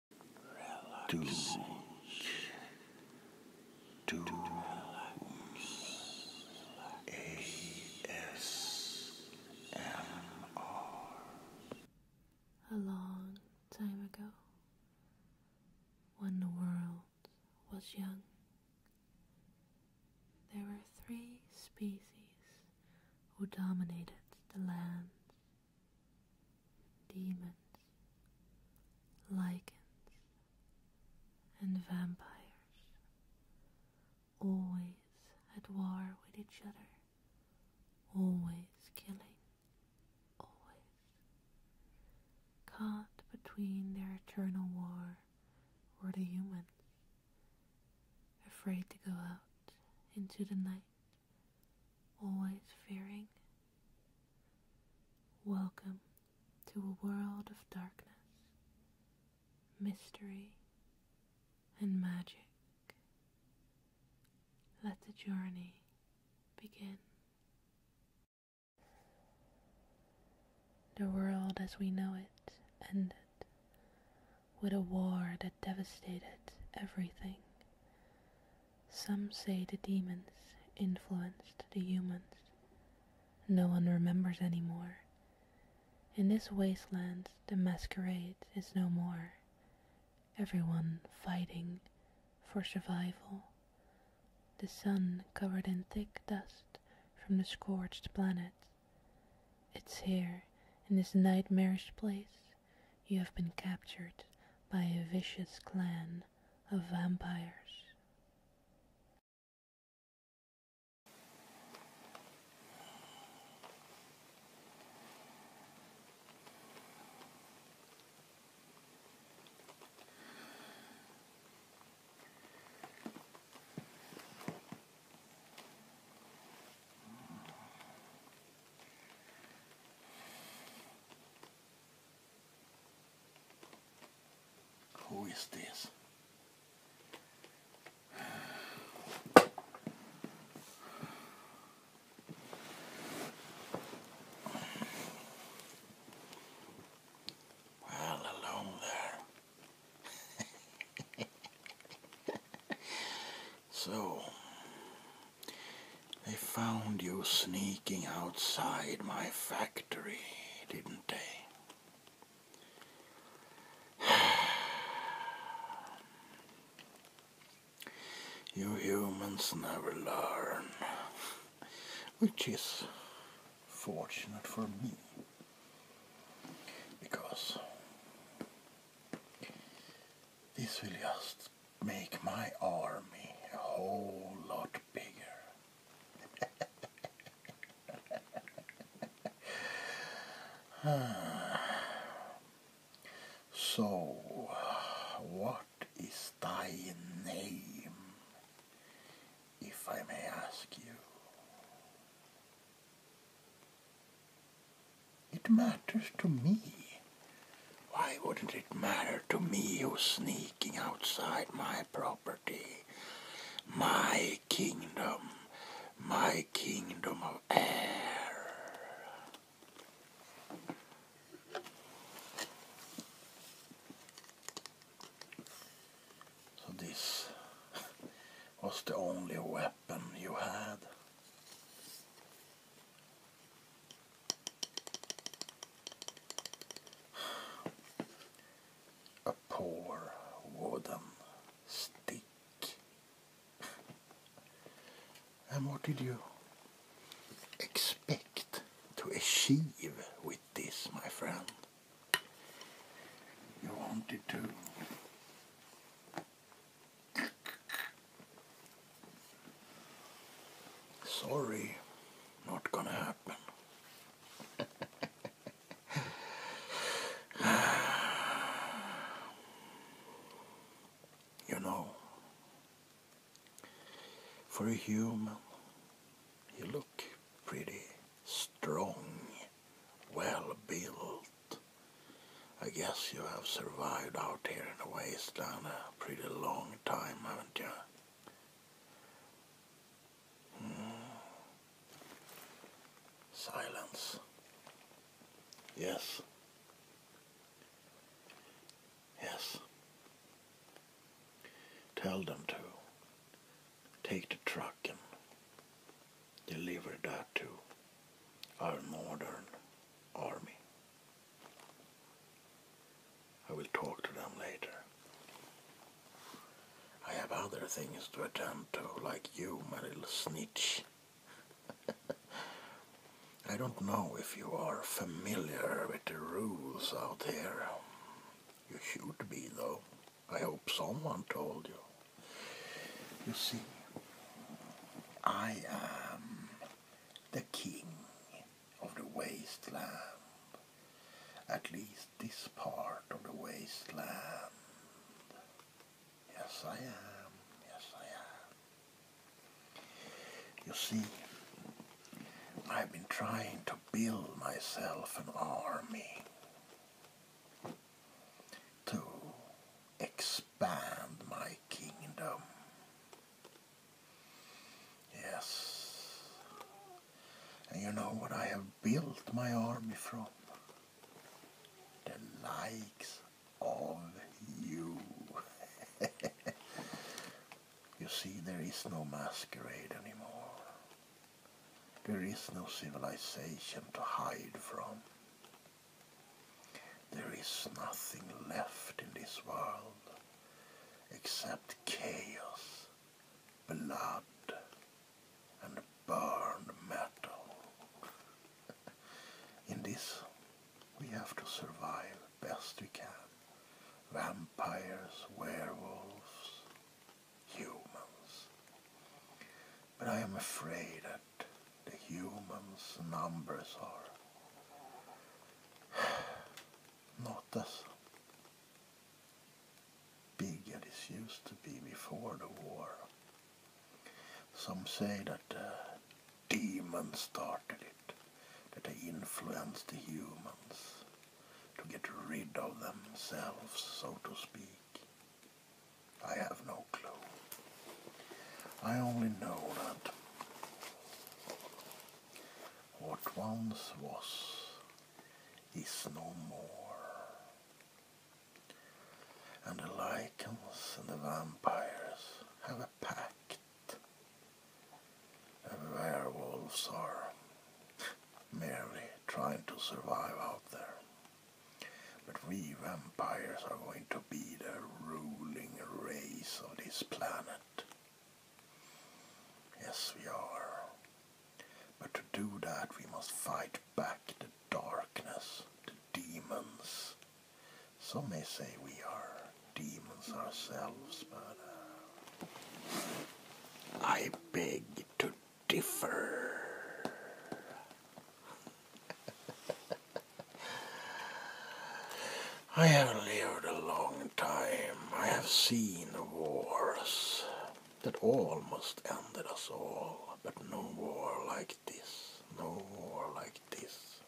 Relax. A long time ago, when the world was young, there were three species who dominated the land demons, lichens, and vampires, always at war with each other, always killing, always caught between their eternal war were the humans, afraid to go out into the night always fearing. Welcome to a world of darkness, mystery, and magic. Let the journey begin. The world as we know it ended with a war that devastated everything. Some say the demons influenced the humans. No one remembers anymore. In this wasteland, the masquerade is no more. Everyone fighting for survival. The sun covered in thick dust from the scorched planet. It's here, in this nightmarish place, you have been captured by a vicious clan of vampires. Who is this? Well, alone there. So, they found you sneaking outside my factory, didn't they? you humans never learn, which is fortunate for me, because this will just make my army a whole lot bigger. so, what is thy name, if I may ask you? It matters to me. Why wouldn't it matter to me who's sneaking outside my property? My kingdom. My kingdom of air. So this was the only weapon you had. A poor wooden stick. And what did you expect to achieve with this, my friend? you wanted to. Sorry, not gonna happen. you know, for a human, you look pretty strong well built. I guess you have survived out here in the wasteland a pretty long time, haven't you? Hmm. Silence. Yes. Yes. Tell them to take the truck and deliver that to our modern army. I will talk to them later. I have other things to attend to, like you, my little snitch. I don't know if you are familiar with the rules out here. You should be, though. I hope someone told you. You see, I am the king of the wasteland. At least this part of the wasteland. Yes, I am. Yes, I am. You see, I've been trying to build myself an army to expand my kingdom. Yes. And you know what I have built my army from? The likes of you. you see, there is no masquerade anymore. There is no civilization to hide from. There is nothing left in this world except chaos, blood, and burned metal. in this, we have to survive best we can. Vampires, werewolves, humans. But I am afraid that the humans' numbers are not as big as it used to be before the war. Some say that uh, demons started it, that they influenced the humans to get rid of themselves, so to speak. I have no clue. I only know that what once was is no more. And the lichens and the vampires have a pact werewolves are merely trying to survive out there. But we vampires are going to be the ruling race of this planet. Yes, we are. But to do that, we must fight back the darkness, the demons. Some may say we are demons ourselves, but I beg to differ. I have lived a long time. I have seen wars that almost ended us all, but no war like this. No war like this.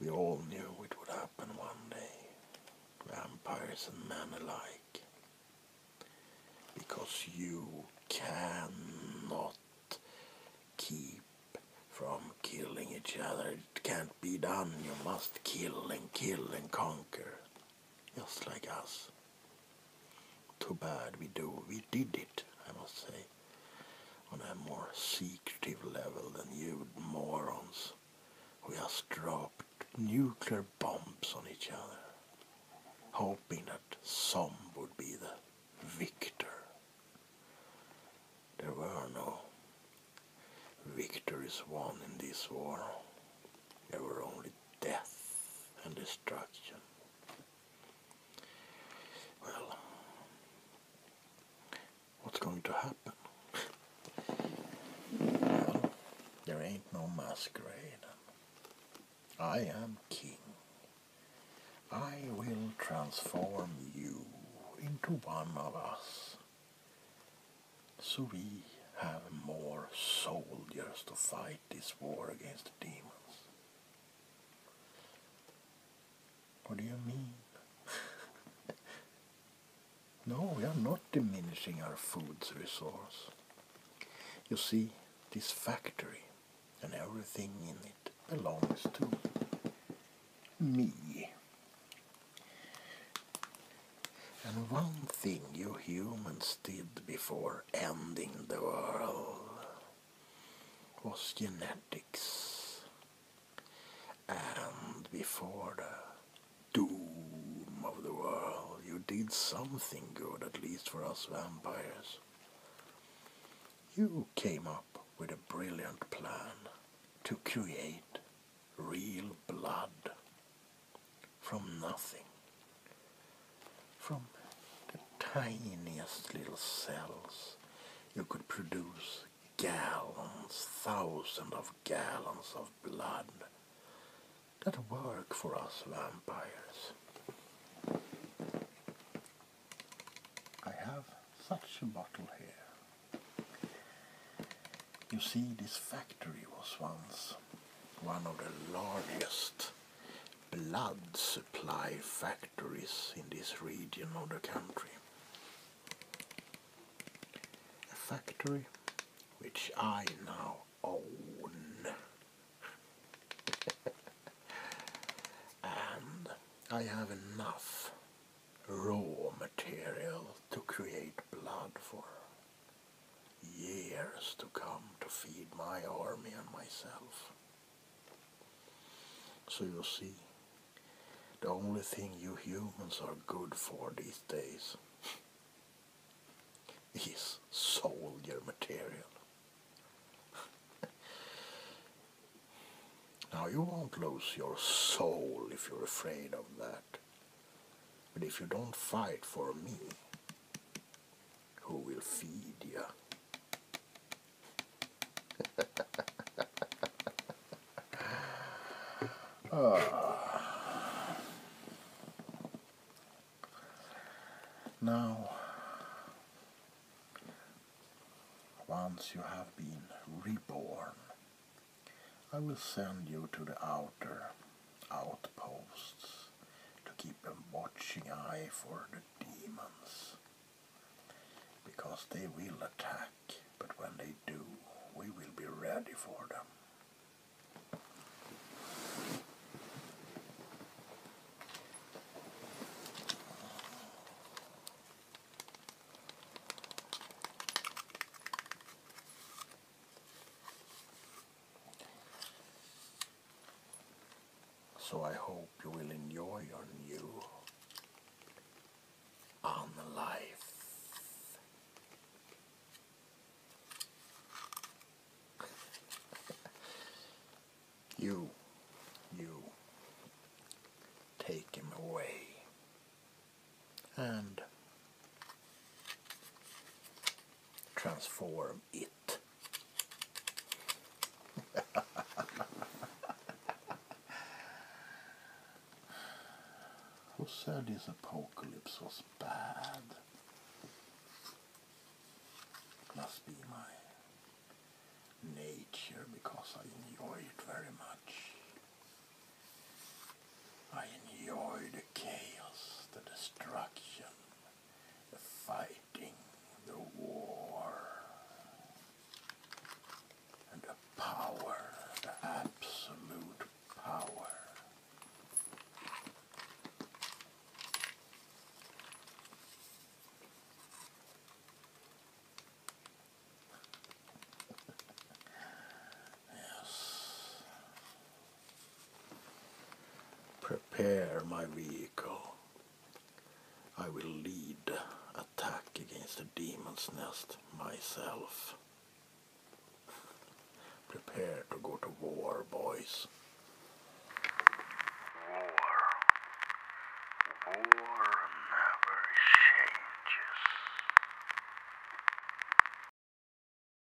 We all knew it would happen one day, vampires and men alike, because you cannot keep from killing each other. It can't be done. You must kill and kill and conquer, just like us. Too bad we do. We did it, I must say on a more secretive level than you morons we have dropped nuclear bombs on each other, hoping that some would be the victor. There were no victories won in this war. There were only death and destruction. Well, what's going to happen? there ain't no masquerade. I am king. I will transform you into one of us. So we have more soldiers to fight this war against the demons. What do you mean? no, we are not diminishing our food's resource. You see, this factory and everything in it belongs to me. And one thing you humans did before ending the world was genetics. And before the doom of the world, you did something good, at least for us vampires. You came up with a brilliant plan to create real blood from nothing from the tiniest little cells you could produce gallons, thousands of gallons of blood that work for us vampires. I have such a bottle here. You see, this factory was once one of the largest blood supply factories there is in this region of the country. A factory which I now own. and I have enough raw material to create blood for years to come to feed my army and myself. So you see, the only thing you humans are good for these days is soldier material. now you won't lose your soul if you're afraid of that. But if you don't fight for me, who will feed you. Ah. Now, once you have been reborn, I will send you to the outer outposts to keep a watching eye for the demons. Because they will attack, but when they do, we will be ready for them. So I hope you will enjoy your new on life. you, you, take him away. And transform who said this apocalypse was bad? It Must be my nature because I enjoy it very much. I enjoy the chaos, the destruction, the fighting the war and the power, the absolute power. yes. Prepare my vehicle. I will lead attack against the demon's nest myself. Prepare to go to war, boys. War. War never changes.